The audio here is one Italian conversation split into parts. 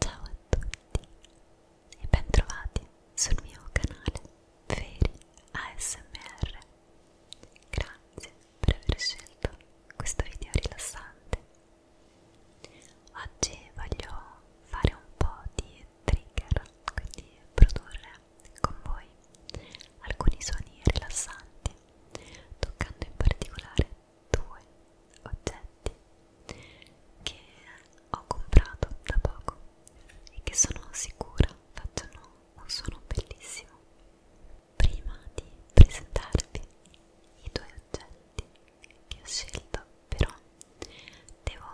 Ciao a tutti e bentrovati sul mio canale Veri ASMR. Grazie per aver scelto questo video rilassante. Oggi voglio fare un po' di trigger, quindi produrre con voi alcuni suoni rilassanti, toccando in particolare due oggetti che ho comprato da poco e che sono sicura facciano un suono bellissimo. Prima di presentarvi i due oggetti che ho scelto, però devo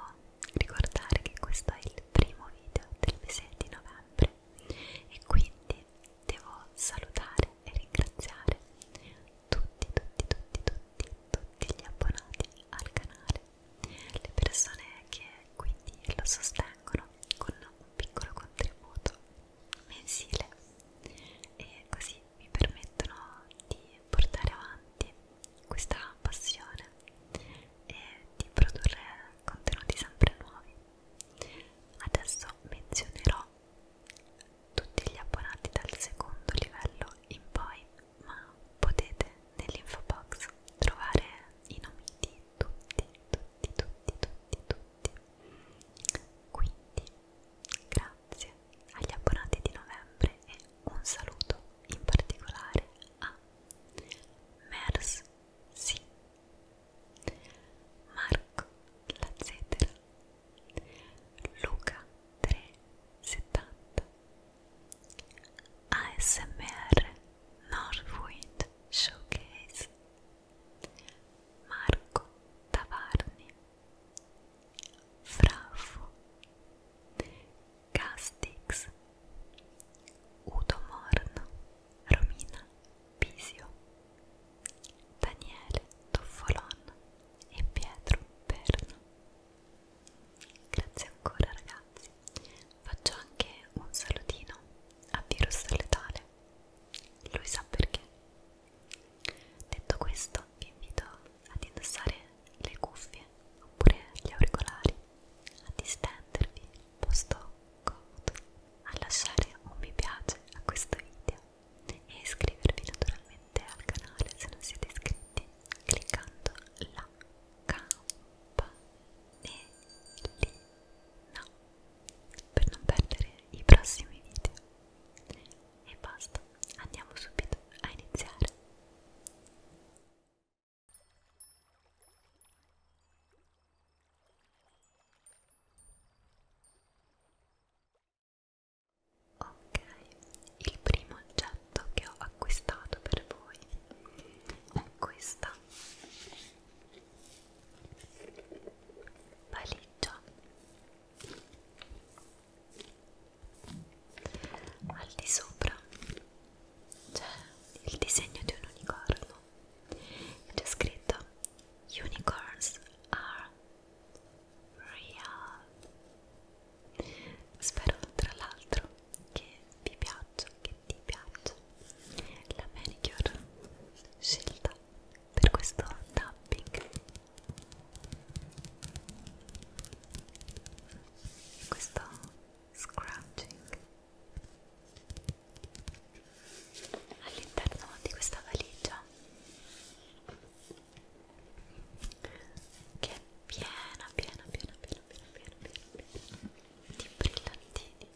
ricordare che questo è il primo video del mese di novembre e quindi devo salutare e ringraziare tutti, tutti, tutti, tutti, tutti gli abbonati al canale, le persone che quindi lo sostengono con un piccolo contributo mensile e così mi permettono di portare avanti questa passione e di produrre contenuti sempre nuovi. Adesso menzionerò tutti gli abbonati dal secondo livello in poi, ma potete nell'info box trovare i nomi di tutti, tutti, tutti, tutti, tutti. Quindi, grazie agli abbonati di novembre e un saluto in particolare a Mers, sì, Marco, la Zetera, Luca 370 ASMR Northwind Showcase Marco Tavarni Frafo Castix Udo Morno Romina Pisio, Daniele Toffolon e Pietro Perno. Grazie ancora ragazzi, faccio anche un salutino a Virus Letale, lui sa perché. Detto questo vi invito ad indossare le cuffie oppure gli auricolari, a distendervi posto comodo, a lasciare un mi piace a questo video e iscrivervi naturalmente al canale se non siete iscritti cliccando la campanellina per non perdere i prossimi video e basta andiamo subito a iniziare Ok, il primo oggetto che ho acquistato per voi è questa valigia. Al di sopra c'è il disegno di un unicorno e c'è scritto Unicorns are real. Spero tra l'altro che vi piaccia, che ti piaccia la manicure scelta per questo tapping. Questo scratching all'interno di questa valigia che è piena, piena, piena, piena, piena, piena, piena, piena di brillantini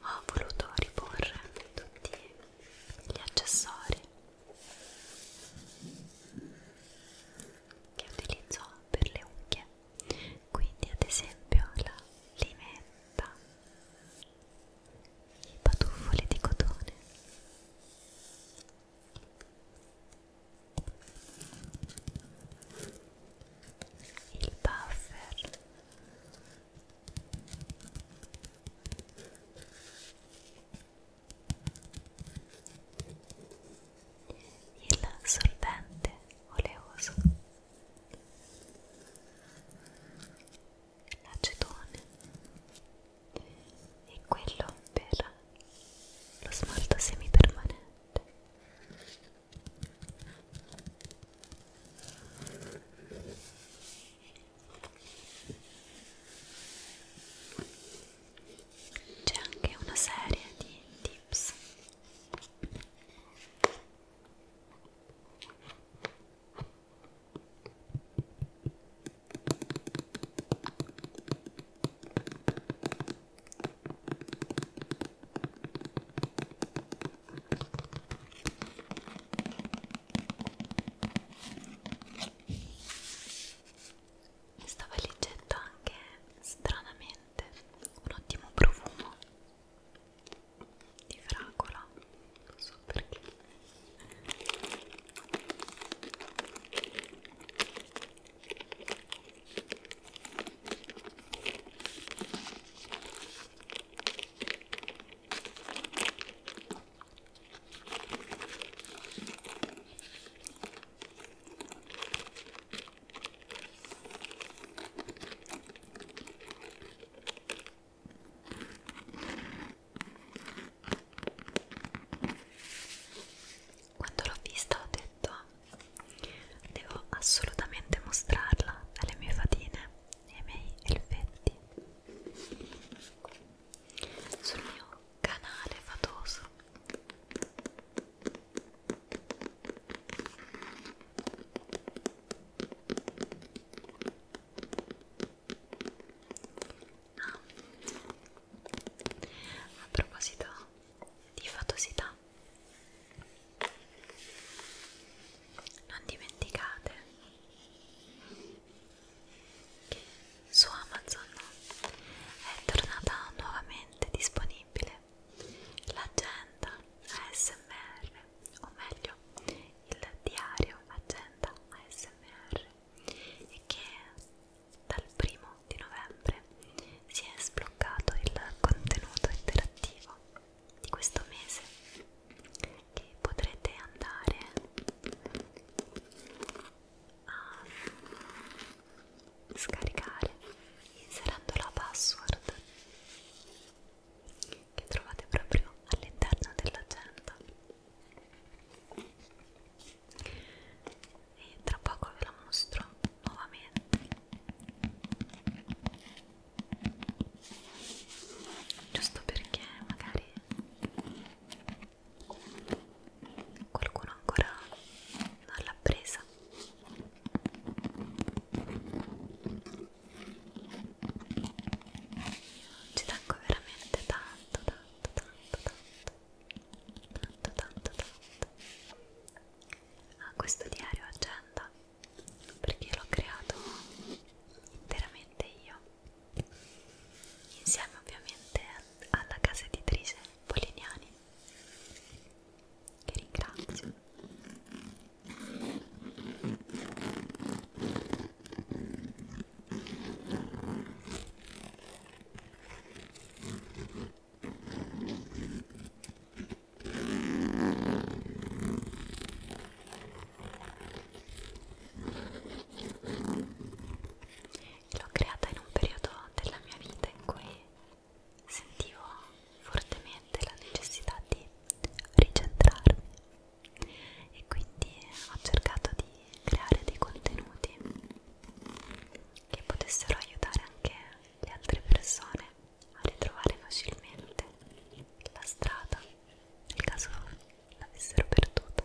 ho voluto riporre tutti gli accessori che utilizzo per le unghie quindi ad esempio la limetta i patuffoli di cotone il buffer il solvente oleoso, l'acetone e quello per lo smalto semipermanente. C'è anche una serie di tips Stava leggendo anche stranamente niente un ottimo profumo di fragola non so perché quando l'ho vista ho detto devo assolutamente mostrarla alle mie fatine e ai miei elfetti sul mio canale fatoso Ah. A proposito di fatosità, non dimenticate che su Amazon è tornata nuovamente disponibile l'agenda ASMR o meglio il diario agenda ASMR e che dal primo di novembre si è sbloccato il contenuto interattivo di questo mese che potrete andare a scaricare inserendo la password che trovate proprio all'interno dell'agenda e tra poco ve la mostro nuovamente giusto perché magari qualcuno ancora non l'ha presa ci tengo veramente tanto tanto tanto tanto tanto tanto tanto a ah, questo diario agenda perché l'ho creato interamente io insieme ovviamente alla casa editrice Poliniani che ringrazio L'ho creata in un periodo della mia vita in cui sentivo fortemente la necessità di ricentrarmi e quindi ho cercato di creare dei contenuti che potessero aiutare anche le altre persone a ritrovare facilmente la strada nel caso l'avessero perduta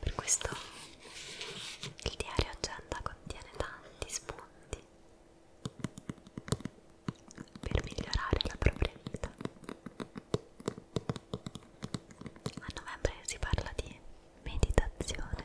per questo il diario agenda contiene tanti spunti per migliorare la propria vita. A novembre si parla di meditazione.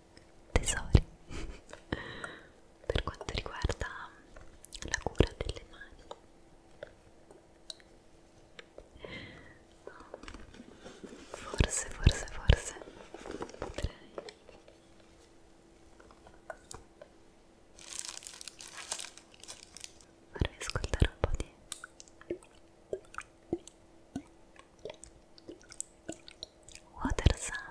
tesori per quanto riguarda la cura delle mani forse forse forse potrei farvi ascoltare un po' di Water Sounds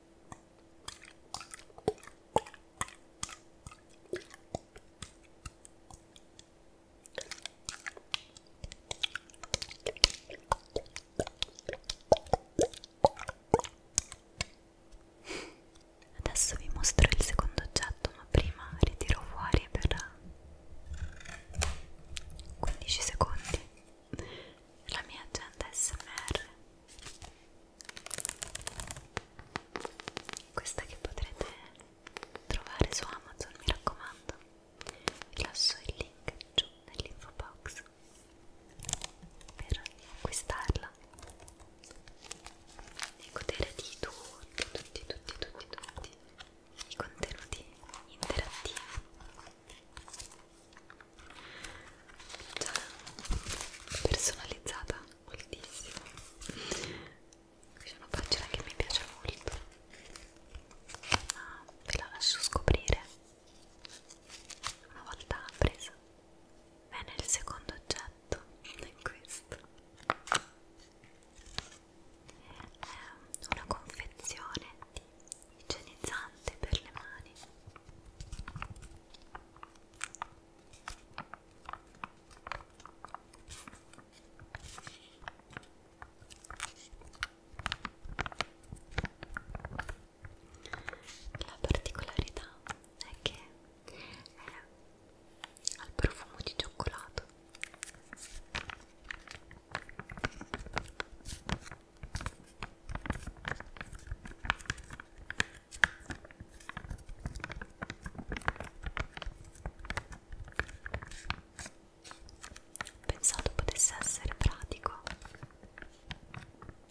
Adesso vi mostro il secondo oggetto, ma prima ritiro fuori per 15 secondi la mia agenda SMR questa che potrete trovare su Amazon mi raccomando vi lascio il link giù nell'info box per acquistarla e godere di tutti tutti tutti tutti tutti i contenuti interattivi già cioè, personalizzata moltissimo c'è una pagina che mi piace molto ma ah, ve la lascio scoprire una volta presa bene il secondo oggetto è questo è una confezione di igienizzante per le mani la particolarità è che è al profumo di cioccolato. Pensato potesse essere pratico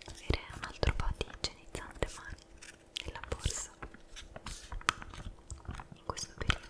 avere un altro po' di igienizzante mani nella borsa in questo periodo.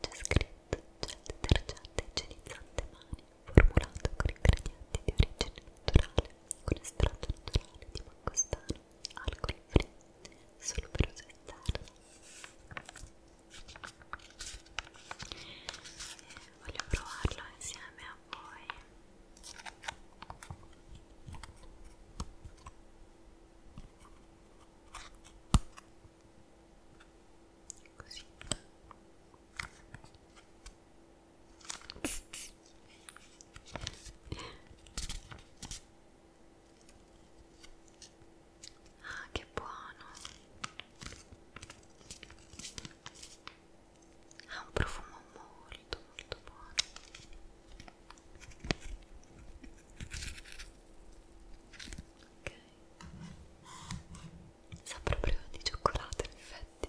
C'è scritto gel detergente igienizzante mani, formulato con ingredienti di origine naturale, con estratto naturale di mangostano, alcol free, solo per uso interno. E voglio provarlo insieme a voi così ah che buono ha un profumo molto molto buono ok Sa proprio di cioccolato in effetti.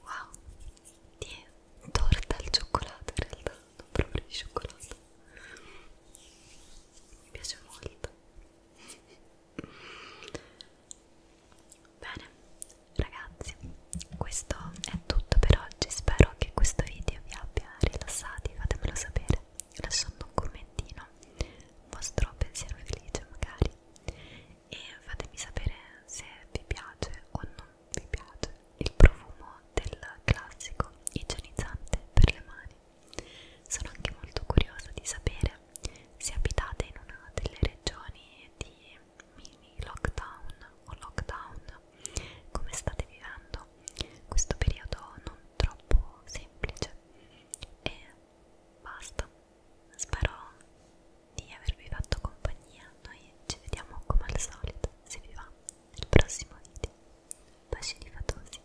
Wow, di torta al cioccolato in realtà cioccolato, proprio di cioccolato mi piace molto bene ragazzi questo è tutto per oggi spero che questo video vi abbia rilassati fatemelo sapere lasciando un commentino un vostro pensiero felice magari e fatemi sapere se vi piace o non mi piace il profumo del classico igienizzante per le mani. Sono anche molto curiosa di sapere se abitate in una delle regioni di mini lockdown o lockdown, come state vivendo questo periodo non troppo semplice e basta. Spero di avervi fatto compagnia. Noi ci vediamo come al solito, se vi va nel prossimo video. Bacini fatosi.